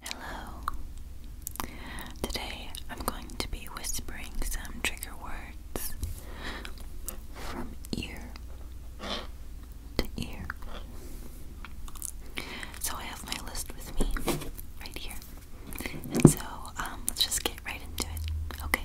Hello. Today I'm going to be whispering some trigger words from ear to ear. So I have my list with me right here. And so um, let's just get right into it. Okay.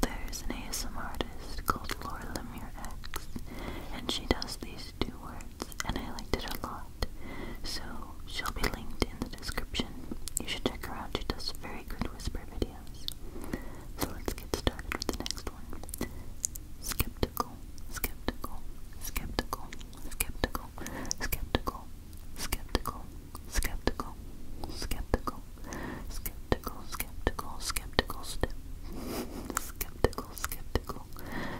There's an ASM artist called Laura Lemure X, and she does these two words, and I liked it a lot. So she'll be linked in the description. You should check her out. She does very good whisper videos. So let's get started with the next one. Skeptical, skeptical, skeptical, skeptical, skeptical, skeptical, skeptical, skeptical, skeptical, skeptical, skeptical, step. skeptical, skeptical,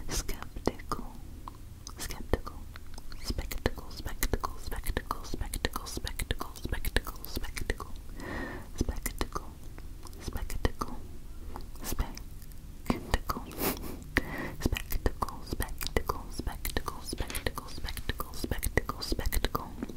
skeptical, skeptical, spectacle, spectacle, spectacle, spectacle, spectacle, spectacle, spectacle, spectacle, spectacle, spectacle, spectacle, spectacle, spectacle, spectacle, spectacle, spectacle, spectacle.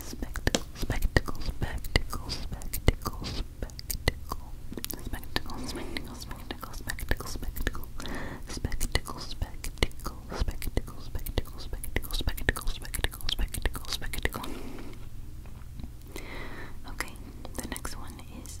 Spectacle, spectacle, spectacle, spectacle, spectacle. Spectacle, spectacle, spectacle, spectacle, spectacle. Spectacle, spectacle, spectacle, spectacle, spectacle, spectacle, Okay, the next one is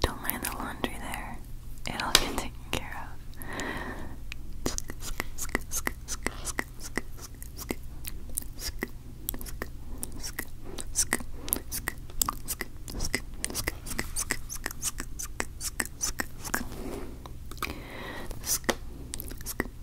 Don't mind the laundry there. It'll get taken care of.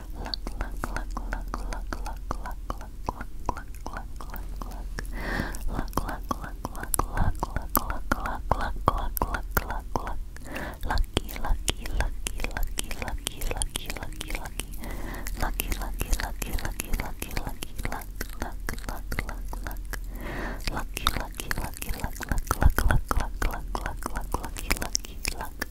Look, look, look, look, look, look, look, look, look, look, look, look. Look, look, look, look, look, look, look, look, look, look, look, look, look. Lucky, lucky, lucky, lucky, lucky, lucky, lucky, lucky. Lucky, lucky, lucky, lucky, lucky, lucky, luck, luck, luck, luck, luck. Lucky, lucky, lucky, luck, luck, luck, luck, luck, luck, luck, luck, lucky, lucky, luck.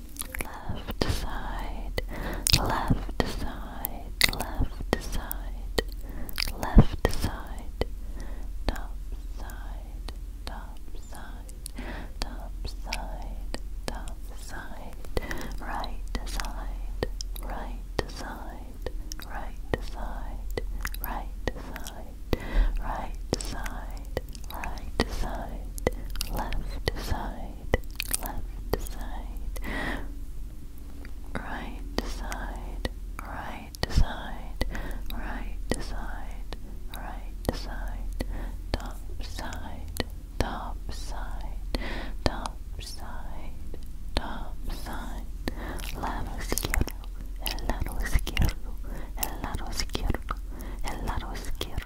left side, left side, left side, left side, top side, top side, top side, top side, right side, right side, right side, right side, right side side, right side, left side, left side, right side, right side, right side, right side, top side, top side, top side, top side, lado izquierdo, el lado izquierdo, el lado izquierdo, el lado izquierdo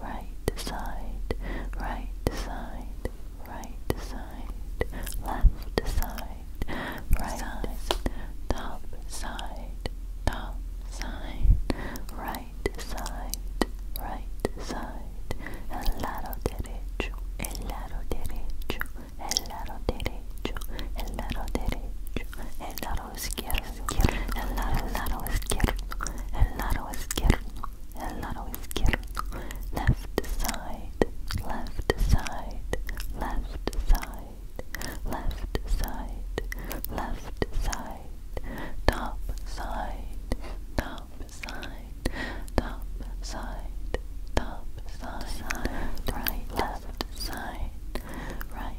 right side, right side, right side, left side, right side, top side, top side, right side, right side, el lado derecho, el lado derecho, el lado derecho, el lado derecho, el lado lado izquierdo, el lado izquierdo, el lado izquierdo, el lado izquierdo, left side, left side, left side, left side, left side, top side, top side, top side, top side, right, left side, right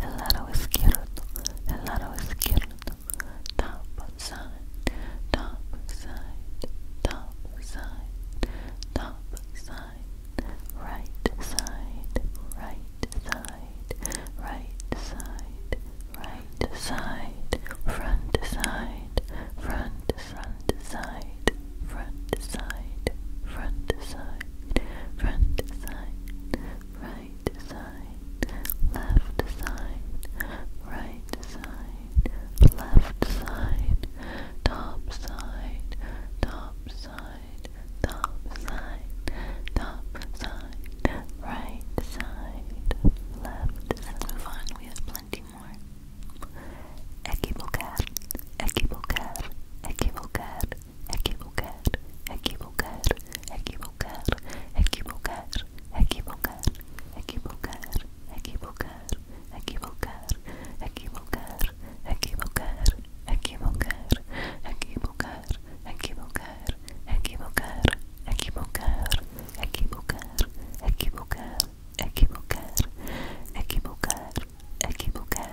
el lado izquierdo, el lado izquierdo, top side, top side, top side, top side, right side, right side, right side, right side, front side, front, front side, front side, front side, front side, right left side, right side, left side, top side, top side, top side, top side, right side, left side. move on, we have plenty more. Equivocar, equivocar, equivocar, equivocar, equivocar, equivocar, equivocar, equivocar, equivocar, equivocar, equivocar, equivocar, equivocar, equivocar, equivocar, equivocar, equivocar, equivocar, equivocar, equivocar, equivocar, equivocar, equivocar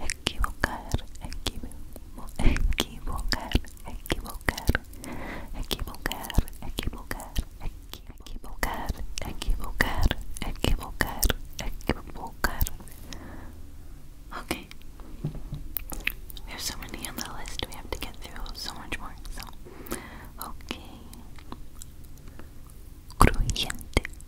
equivocar, equivo, Okay. We have so many on the list we have to get through so much more. So okay.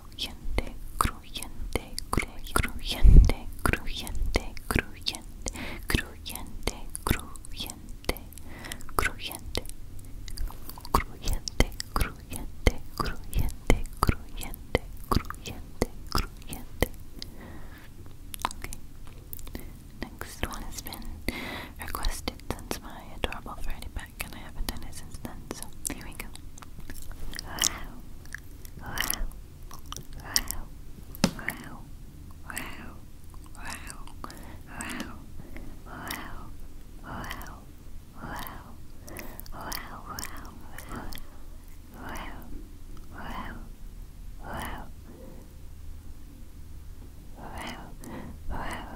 Cruyente, cruyente, cruyente, cruyente, cruyente, cruyente, cruyente, cruyente, cruyente, cruyente, cruyente, cruyente, cruyente, cruyente. Okay. Next one has been requested since my adorable Freddy Bear back and I haven't done it so here we go. Wow. Wow. Wow. Wow. Wow. Wow. Wow. Wow. Wow. Wow. Wow. Wow. Wow. Wow. Wow. Wow. Wow. Wow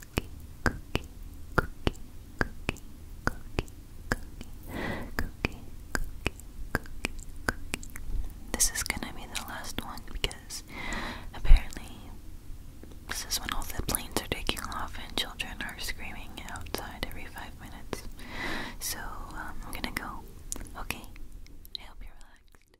cookie, cookie, cookie, cookie, cookie, cookie, cookie, cookie, cookie. This is gonna be the last one because apparently this is when all the planes are taking off and children are screaming outside every five minutes. So um, I'm gonna go. Okay. I hope you're relaxed.